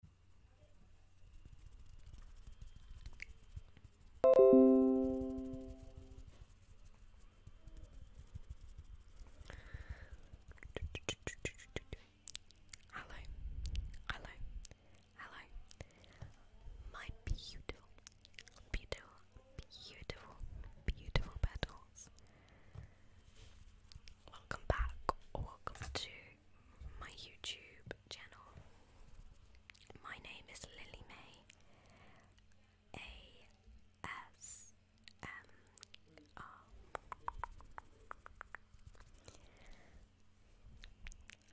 Hello, hello, hello, my beautiful, beautiful, beautiful, beautiful petals. Welcome back, welcome to my YouTube channel. My name is Lily May A S M R.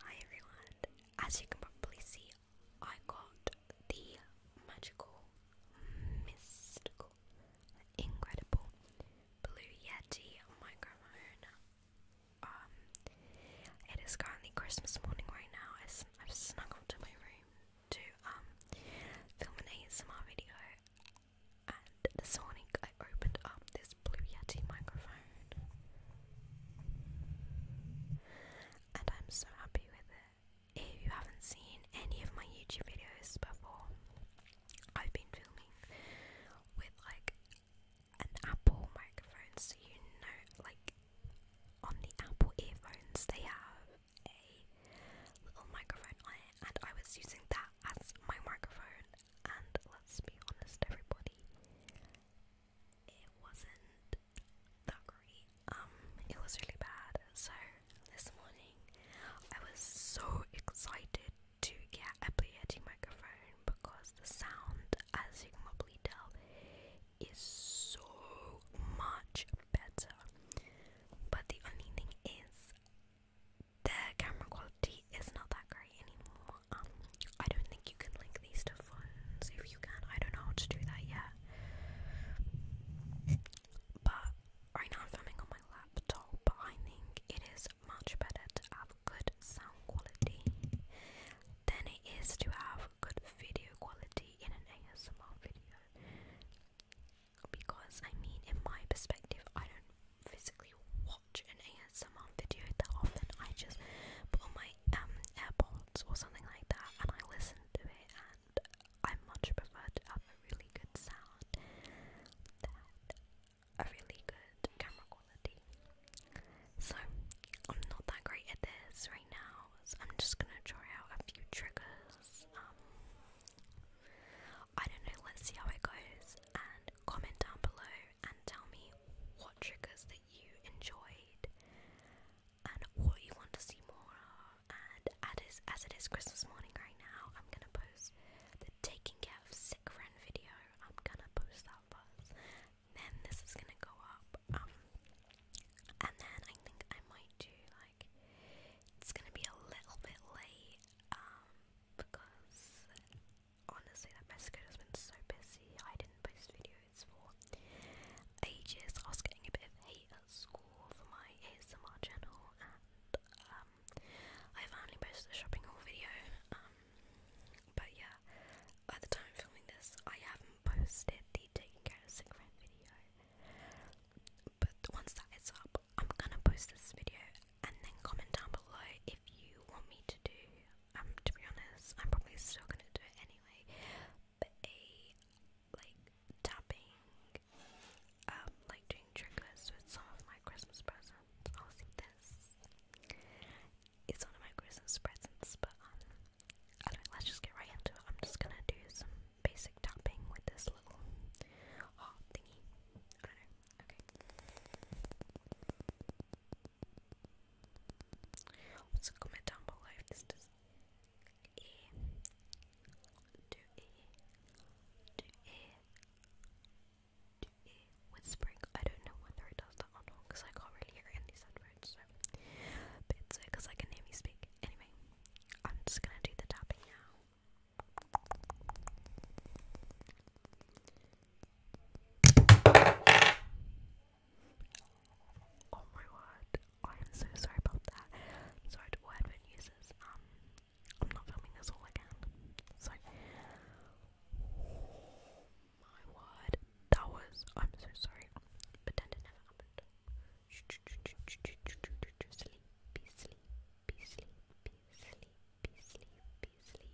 Hi everyone. As you can probably see, I got the magical, mystical, incredible Blue Yeti microphone um, it is currently Christmas morning right now. I have snuggled up to my room to um film an ASMR video, and this morning I opened up this Blue Yeti microphone, and I'm so happy with it. If you haven't seen any of my YouTube videos before, I've been filming with like an Apple microphone, so you know, like on the Apple earphones, they have a little microphone on it, and I was using that as my microphone. And let's be honest, everybody, it wasn't that great. Um, it was really bad. So this morning, I was so excited to get a better microphone because the sound, as you can probably tell, is so much better. But the only thing is, the camera quality is not that great anymore. Um, I don't think you can link these to phones. If you can, I don't know how to do that yet. But right now I'm filming on my laptop. I think it is much better to have good sound quality than it is to have good video quality in an ASMR video. Because, I mean, in my perspective, I don't physically watch an ASMR video that often. I just put on my um, AirPods or something like that and I listen to it, and I much prefer to have a really good sound a really good camera quality. So I'm not that great at this right now, so I'm just gonna try out a few triggers. Um, I don't know, let's see how it goes and comment down below and tell me what triggers that you enjoyed and what you want to see more of and as it is Christmas morning right now, I'm gonna post the taking care of sick friend video I'm gonna post that first. Then this is gonna go up. Um, and then I think I might do like it's gonna be a little bit late. Um, because honestly, that Mexico has been so busy. I didn't post videos for ages. I was getting a bit of hate at school for my ASMR channel, and um, I finally posted a shopping haul video. Um, but yeah, at the time of filming this, I haven't posted the taking care of cigarette video. But once that is up, I'm gonna post this video and then comment down below if you want me to do. Um, to be honest, I'm probably still gonna do it anyway. But a like tapping, um, like doing triggers with some of my Christmas presents. I'll see this it's one of my Christmas presents, but um, I don't. Let's just get right into it. I'm just gonna do some basic tapping with this little heart thingy. I don't know. Okay. Also comment down below this does ear to ear to ear do a I don't know whether it does that or not because I can't really hear it in these but because uh, I can hear me speak. Anyway, I'm just gonna do the tapping now. Oh my I am so sorry about that. sorry to all users. Um, I'm not filming this all again. Sorry my word, that was. I'm so sorry, pretend it never happened. Sleep, be sleep, be sleep, be sleep, be sleep, be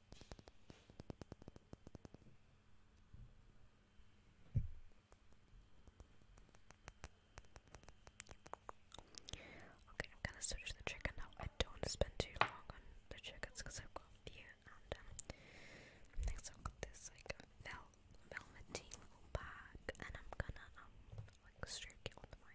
Okay, I'm gonna switch the chicken now. I don't want to spend too long on the chickens because I've got a few, and um, next I've got this like vel velveteen little bag, and I'm gonna um like stroke it on my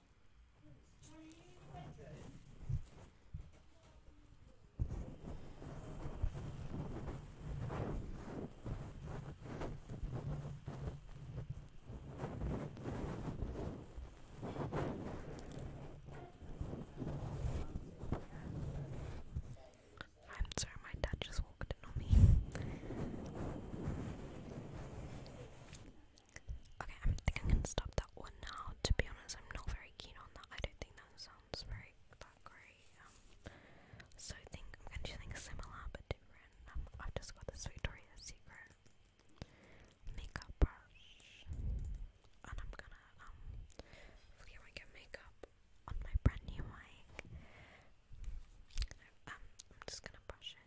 I'm sorry, my dad just walked in on me. Okay, I think I'm gonna stop that one now. To be honest, I'm not very keen on that. I don't think that sounds very that great. Um, so I think I'm gonna do something similar but different. Um, I've just got this Victoria Secret makeup brush, and I'm gonna um clear my makeup on my brand new mic. Um, I'm just gonna brush it.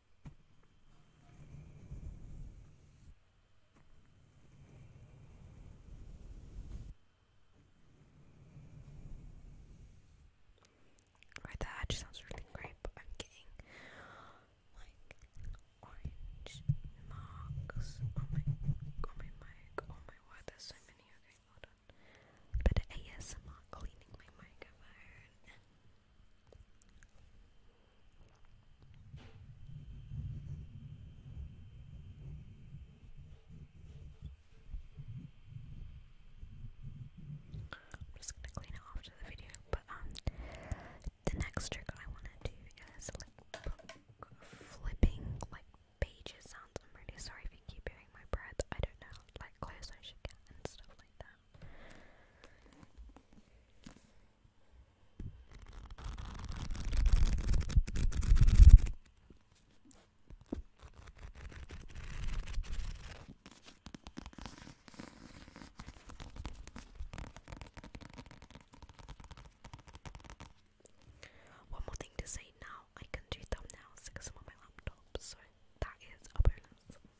Alright, that actually sounds really great, but I'm getting like orange marks on my on my mic. Oh my word, there's so many. Okay, hold on. A ASMR cleaning my microphone. I'm just gonna clean it after the video, but um, the next trick I wanna do is flipping like pages sounds. I'm really sorry if you keep hearing my breath. I don't know, like close I should get and stuff like that. One more thing to say now, I can do thumbnails because I'm on my laptop, so that is a bonus.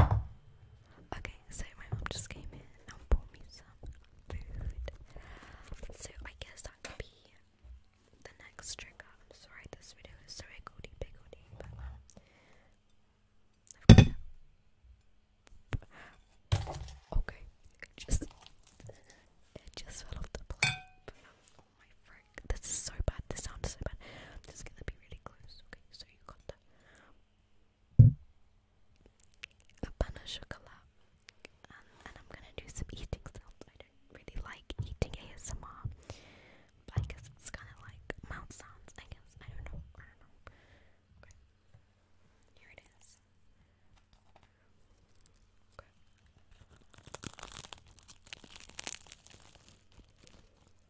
Okay, so my mom just came in and bought me some food. So I guess that could be the next trigger. I'm sorry this video is so higgledy piggledy, um, Okay, it just it just fell off the plate. Um, oh my frick, this is so bad. This sound is so bad. This is gonna be really close. Okay, so you got the a pan of chocolate. and I'm gonna do some eating sounds. I don't really like eating ASMR, but it's kind of like mouth sounds. I guess I don't know. I don't know. here it is.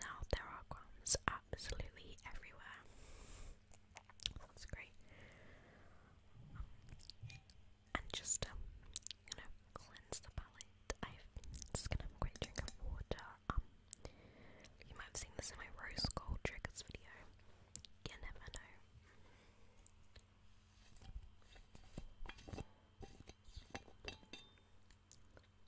Now there are crumbs absolutely everywhere. That's great. And just um, you know, cleanse the palate. I've just gonna have a quick drink of water. Um, you might have seen this in my rose gold triggers video. You never know.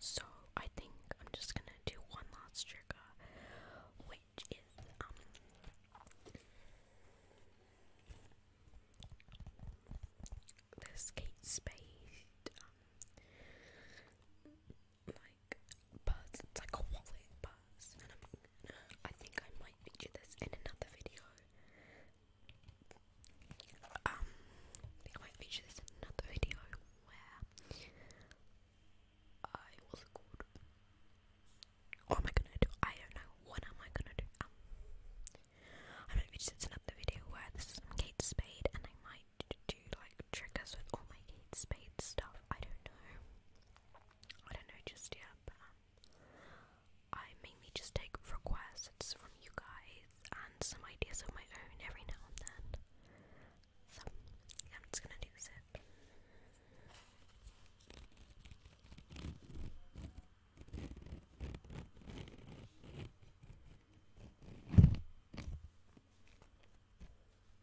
so I think I'm just gonna do one last trigger, which is um. This Kate Spade um, like purse. It's like a wallet purse. And I'm, I think I might feature this in another video. Um, I might feature this in another video where I was called. What am I gonna do? I don't know. What am I gonna do? Um, I might feature this in another video where this is some Kate Spade, and I might do like triggers with all my Kate Spade stuff. I don't know. I don't know just yet, um, I mainly just take requests from you guys and some ideas of my own every now and then. So, yeah, I'm just gonna do this. It.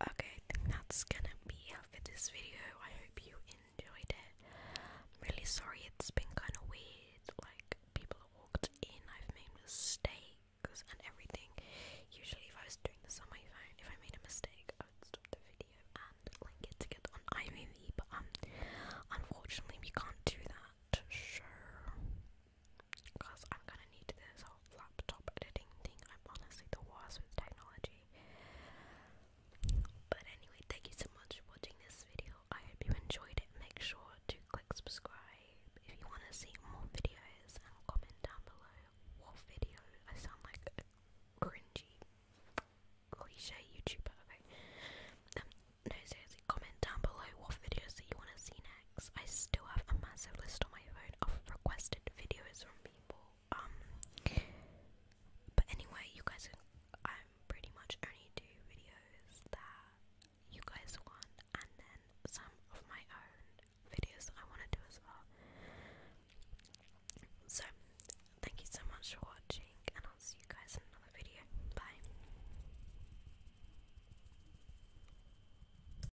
okay, I think that's gonna be it for this video. I hope you enjoyed it. I'm really sorry it's been kind of weird. Like, people have walked in, I've made mistakes and everything. Usually, if I was doing this on my phone, if I made a mistake, I would stop the video and link it to on iMovie. But um, unfortunately, we can't do that. So Cause I'm gonna need this whole laptop editing thing. I'm honestly the worst with technology. But anyway, thank you so much for watching this video. I hope you enjoyed it. Make sure to click subscribe if you want to see more videos and comment down below what video. I sound like cringy cliche YouTuber. Okay. Um, no seriously, comment down below what videos that you want to see next. I still have a massive list on my phone of requested videos from people. Um, but anyway, you guys, I'm pretty much only do videos that you guys want, and then some of my own videos that I want to do as well. So, thank you so much for watching, and I'll see you guys in another video. Bye.